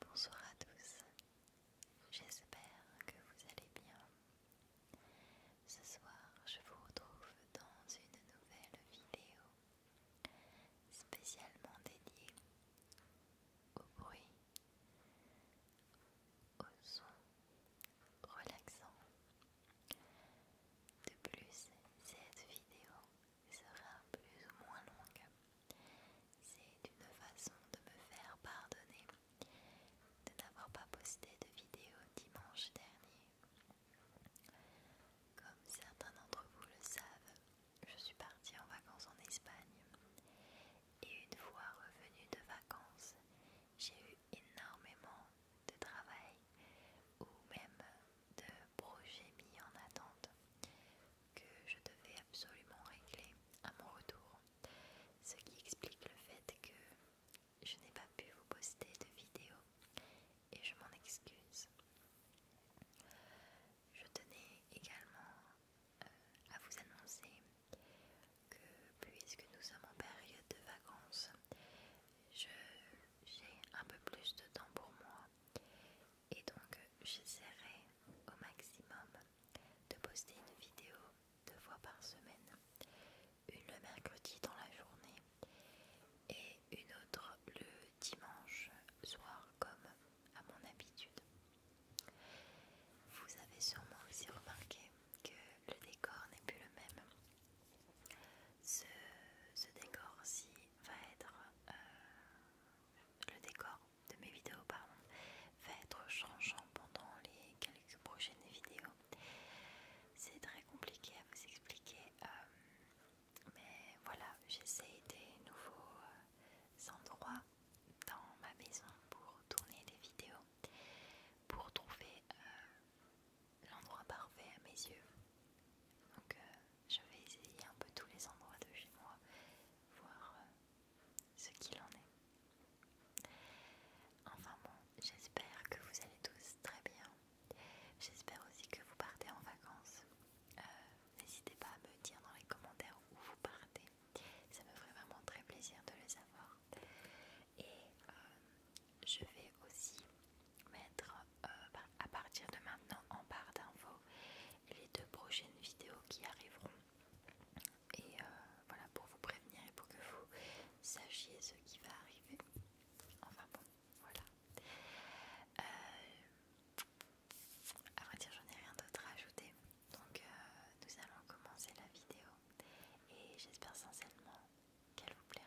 Bonsoir à tous, j'espère que vous allez bien. Ce soir, je vous retrouve dans une nouvelle vidéo spécialement dédiée au bruit, au son relaxant. De plus, cette vidéo sera plus ou moins longue c'est une façon de me faire pardonner de n'avoir pas posté de vidéo dimanche dernier. Comme certains d'entre vous le savent, je suis partie en vacances en Espagne et une fois revenue de vacances, j'ai eu énormément de travail ou même de projets mis en attente que je devais absolument régler à mon retour. Ce qui explique le fait que je n'ai pas pu vous poster de vidéo et je m'en excuse. Je tenais également euh, à vous annoncer que puisque nous sommes en période de vacances, j'ai un peu plus de temps pour moi et donc j'essaierai au maximum de poster une vidéo deux fois par semaine, une le mercredi dans la journée et une autre le dimanche soir comme à mon habitude. Vous avez sûrement aussi remarqué que le décor n'est plus le même. Ce, décor-ci va être euh, le décor de mes vidéos pardon, va être changeant pendant les quelques prochaines vidéos. C'est très compliqué à vous expliquer, euh, mais voilà, j'essaie des nouveaux euh, endroits dans ma maison pour tourner des vidéos, pour trouver euh, l'endroit parfait à mes yeux. Je vais essayer un peu tous les endroits de chez moi, voir euh, ce qu'il en est. Enfin bon, j'espère que vous allez tous très bien. J'espère aussi que vous partez en vacances. Euh, n'hésitez pas à me dire dans les commentaires où vous partez. Ça me ferait vraiment très plaisir de le savoir. Et euh, je vais aussi mettre à partir de maintenant en barre d'infos les deux prochaines vidéos qui arriveront. Et euh, voilà, pour vous prévenir et pour que vous sachiez ce qui va arriver. Enfin bon, voilà. Euh, à vrai dire, j'en ai rien d'autre à ajouter. Donc, euh, nous allons commencer la vidéo. Et j'espère sincèrement qu'elle vous plaira.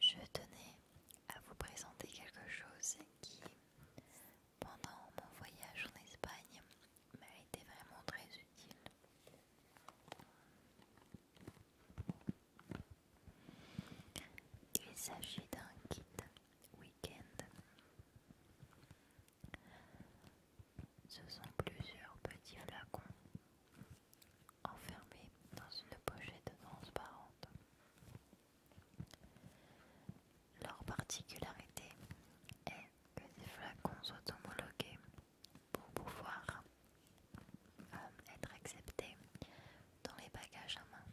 Je tenais à vous présenter quelque chose qui, pendant mon voyage en Espagne, m'a été vraiment très utile. Il s'agit d'un kit week-end. Ce sont plusieurs petits flacons enfermés dans une pochette transparente. Leur particularité est que les flacons soient homologués pour pouvoir euh, être accepté dans les bagages à main.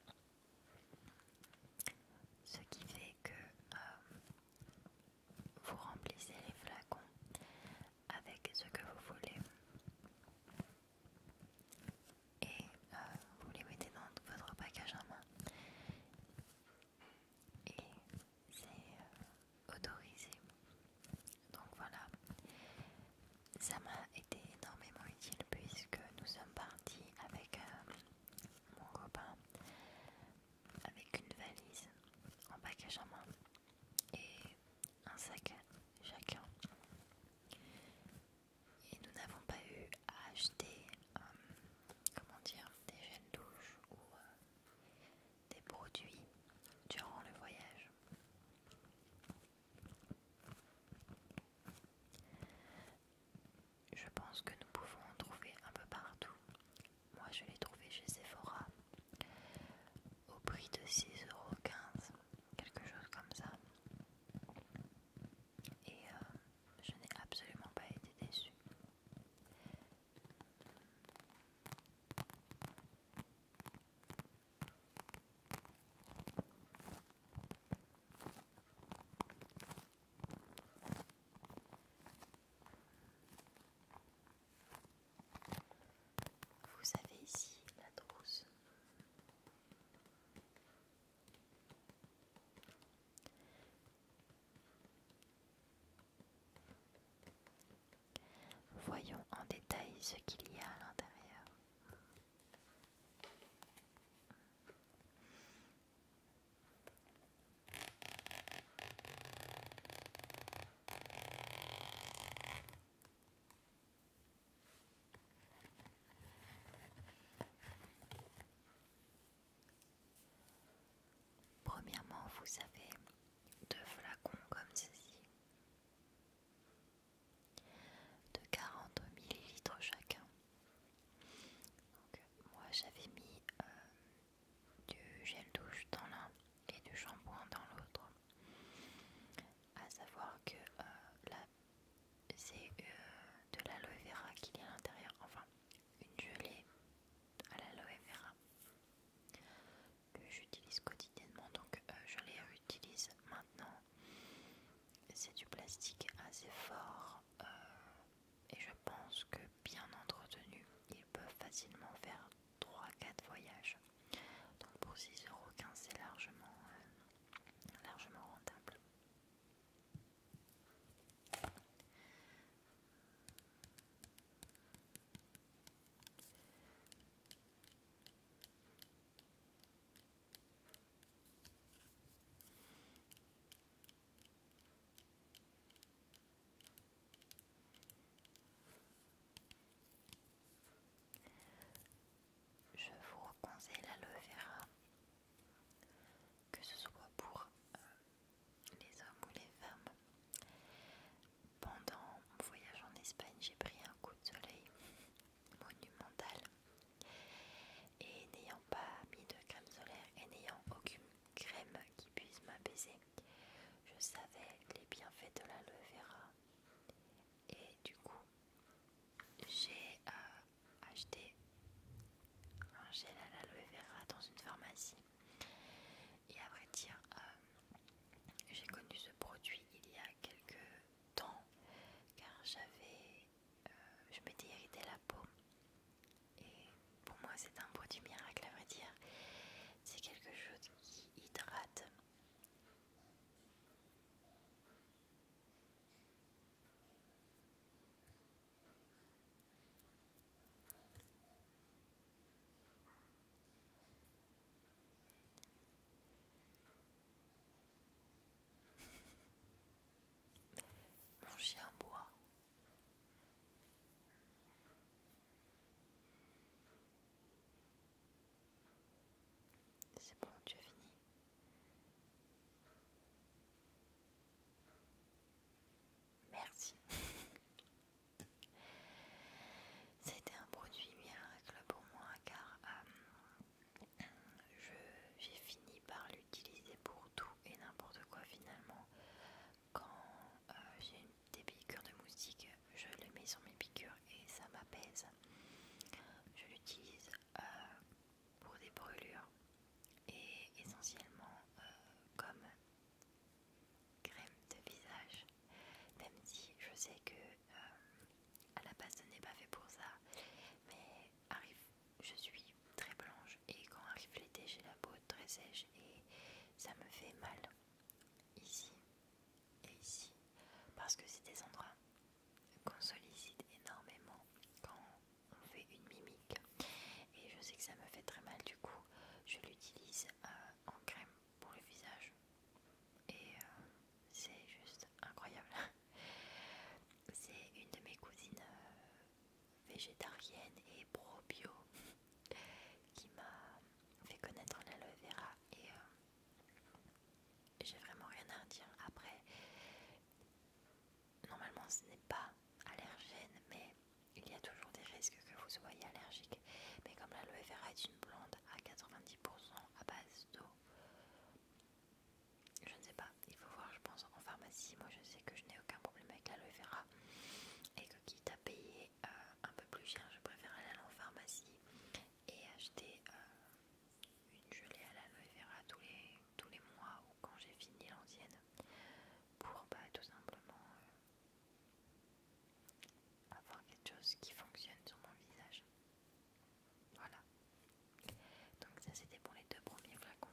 Ce qui fait que euh, vous remplissez les flacons avec ce que vous voulez et euh, vous les mettez dans votre bagage à main. Et c'est autorisé. Donc voilà, ça m'a été énormément utile puisque nous sommes partis avec euh, mon copain avec une valise en bagage à main et un sac chacun. Et nous n'avons pas eu à acheter, euh, comment dire, des gels douches ou euh, des produits durant le voyage. Je pense que nous pouvons en trouver un peu partout. Moi je l'ai trouvé chez Sephora au prix de 6,15€, quelque chose comme ça. Et euh, je n'ai absolument pas été déçue. Vous avez ici la trousse. Voyons en détail ce qu'il y a à l'intérieur. Premièrement, vous avez deux flacons comme ceci de 40 ml chacun. Donc, moi j'avais mis euh, du gel douche dans l'un et du shampoing dans l'autre. À savoir que euh, là c'est euh, de l'aloe vera qu'il y a à l'intérieur, enfin une gelée à l'aloe vera que j'utilise quotidiennement, donc euh, je les réutilise maintenant. C'est du plastique assez fort euh, et je pense que bien entretenu, ils peuvent facilement faire 3-4 voyages. Donc pour 6,15€ c'est largement, euh, largement rentable. Je vous conseille l'aloe vera, que ce soit pour euh, les hommes ou les femmes pendant mon voyage en Espagne, j'ai pris un coup de soleil monumental et n'ayant pas mis de crème solaire et n'ayant aucune crème qui puisse m'apaiser, je savais les bienfaits de l'aloe vera et du coup j'ai euh, acheté un gel à l'aloe vera dans une pharmacie et à vrai dire j'ai connu ce produit il y a quelques temps car j'avais, euh, je m'étais irrité la peau et pour moi c'est un produit miracle à vrai dire. C'est quelque chose qui hydrate. Mon chien boit. C'est bon, tu as fini. Merci. C'était un produit miracle pour moi car euh, j'ai fini par l'utiliser pour tout et n'importe quoi finalement. Quand euh, j'ai des piqûres de moustiques, je le mets sur mes piqûres et ça m'apaise. Je l'utilise euh, pour des brûlures et essentiellement comme crème de visage. Même si je sais que euh, à la base ce n'est pas fait pour ça mais arrive je suis très blanche et quand arrive l'été j'ai la peau très sèche et ça me fait mal ici et ici parce que c'est des endroits qu'on sollicite énormément quand on fait une mimique et je sais que ça me fait très mal du coup je l'utilise euh, en crème pour le visage. Et euh, c'est juste incroyable. c'est une de mes cousines euh, végétarienne et pro-bio qui m'a fait connaître l'aloe vera. Et euh, j'ai vraiment rien à dire Après, normalement ce n'est pas allergène, mais il y a toujours des risques que vous soyez allergique. Mais comme l'aloe vera est une plante à 90% à base d'eau. Je ne sais pas, il faut voir, je pense, en pharmacie. Moi, je sais que je n'ai aucun problème avec l'aloe vera et que quitte à payer euh, un peu plus cher, je préfère aller en pharmacie et acheter euh, une gelée à l'aloe vera tous les, tous les mois ou quand j'ai fini l'ancienne pour bah, tout simplement euh, avoir quelque chose qui fonctionne sur mon visage. Voilà. Donc ça c'était pour les deux premiers flacons.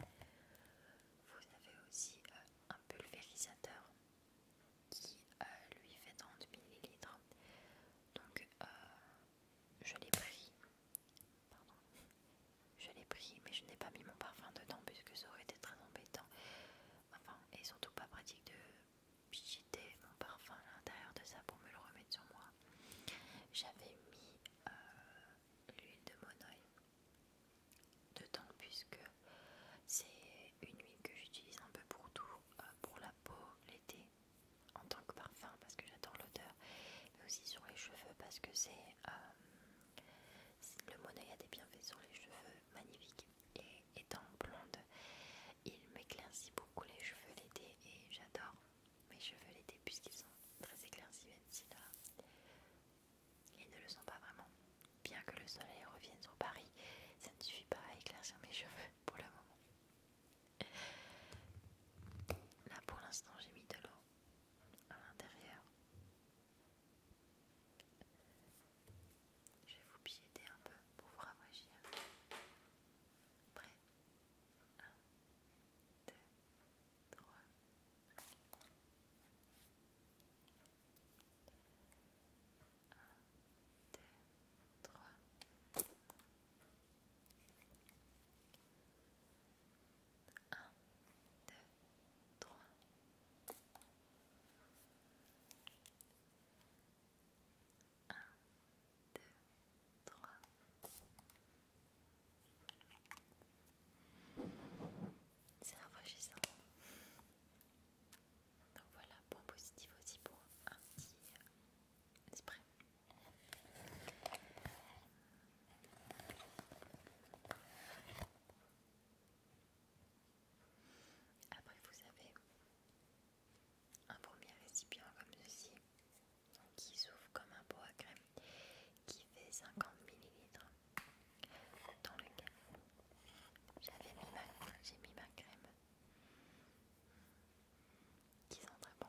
Vous avez aussi euh, un pulvérisateur qui euh, lui fait 30 ml. Donc euh, je l'ai pris. Pardon. Je l'ai pris mais je n'ai pas mis mon parfum dedans puisque ça aurait été très embêtant. Enfin, et surtout pas pratique de jeté mon parfum à l'intérieur de ça pour me le remettre sur moi, j'avais mis euh, l'huile de de temps puisque c'est une huile que j'utilise un peu pour tout, euh, pour la peau l'été en tant que parfum parce que j'adore l'odeur, mais aussi sur les cheveux parce que c'est euh, le monoï a des bienfaits sur les cheveux magnifiques et étant blonde, il m'éclaircit beaucoup les cheveux l'été et j'adore mes cheveux l'été puisqu'ils sont très éclaircis même ils ne le sont pas vraiment. Bien que le soleil revienne sur Paris, ça ne suffit pas à éclaircir mes cheveux pour le moment. Là pour l'instant j'ai mis de l'eau à l'intérieur. Je vais vous piéter un peu pour vous ravager un peu. Prêt 1, 2, 3 1, 2, 3 1, 2, 3 1, 2, 3. C'est rafraîchissant. Donc voilà, point positif aussi pour un petit spray. Après, vous avez un premier récipient comme ceci qui s'ouvre comme un pot à crème qui fait 50 ml dans lequel j'avais j'ai mis ma crème mmh. qui sent très bon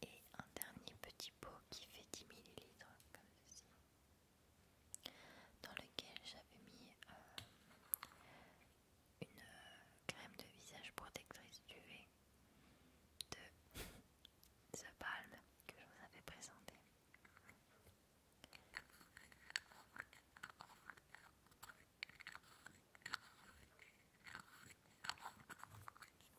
et un dernier petit pot qui fait 10 ml comme ceci dans lequel j'avais mis euh, une euh, crème de visage protectrice UV de The Palme que je vous avais présenté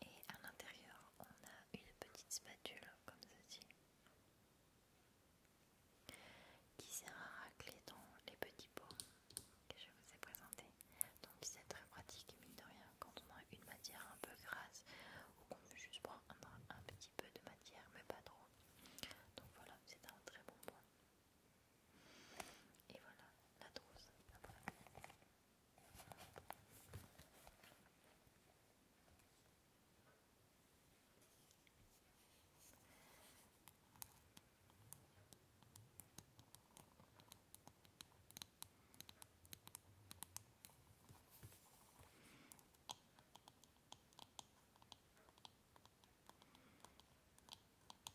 Et à l'intérieur, on a une petite spatule comme ceci qui sert à racler dans les petits pots que je vous ai présentés. Donc c'est très pratique, mine de rien, quand on a une matière un peu grasse ou qu'on veut juste prendre un petit peu de matière, mais pas trop. Donc voilà, c'est un très bon point. Et voilà la trousse.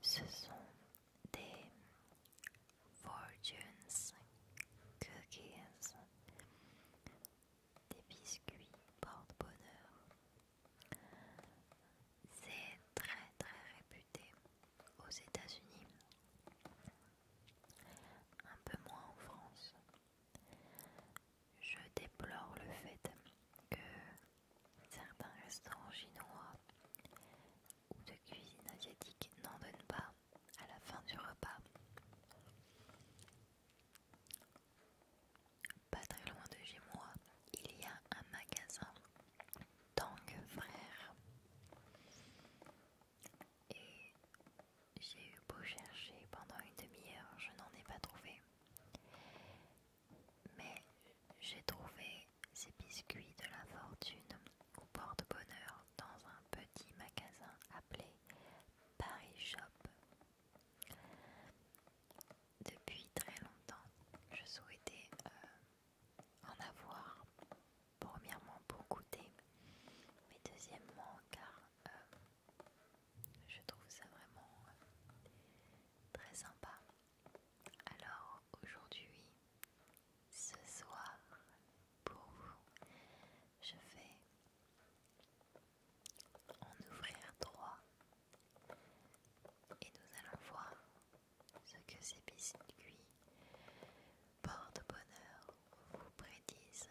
Ce sont des fortunes cookies, des biscuits porte-bonheur. C'est très très réputé aux États-Unis, un peu moins en France je déplore le fait que certains restaurants chinois ou de cuisine asiatique n'en donnent pas à la fin du repas. Pas très loin de chez moi, il y a un magasin Tang Frère. Et j'ai eu beau chercher pendant une demi-heure, je n'en ai pas trouvé. Mais j'ai trouvé ces biscuits de la fortune au porte-bonheur dans un petit magasin appelé Paris Shop. Depuis très longtemps, je souhaitais euh, en avoir, premièrement pour goûter, mais deuxièmement car euh, je trouve ça vraiment euh, très sympa. Alors aujourd'hui, ce soir, pour vous, je vais en ouvrir trois et nous allons voir ce que ces biscuits porte-bonheur vous prédisent.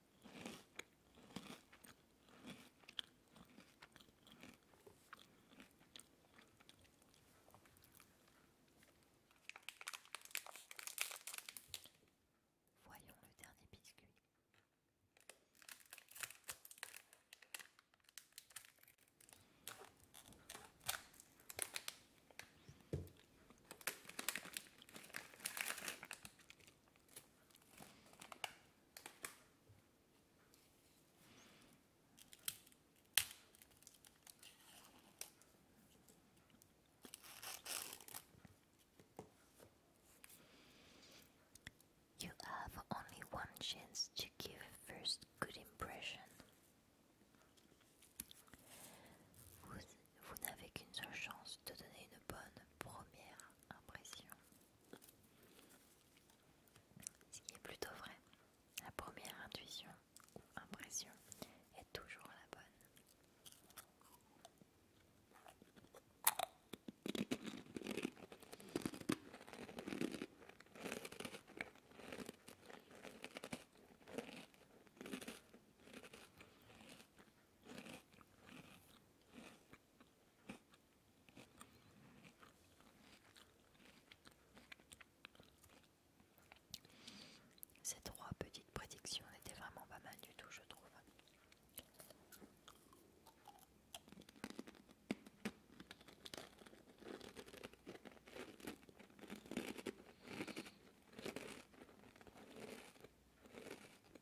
Voyons le dernier biscuit. You have only one chance to give a first good impression. vous n'avez qu'une seule chance de donner une bonne première impression. Ce qui est plutôt vrai, la première intuition ou impression est toujours la bonne. Ces trois petites prédictions n'étaient vraiment pas mal du tout, je trouve.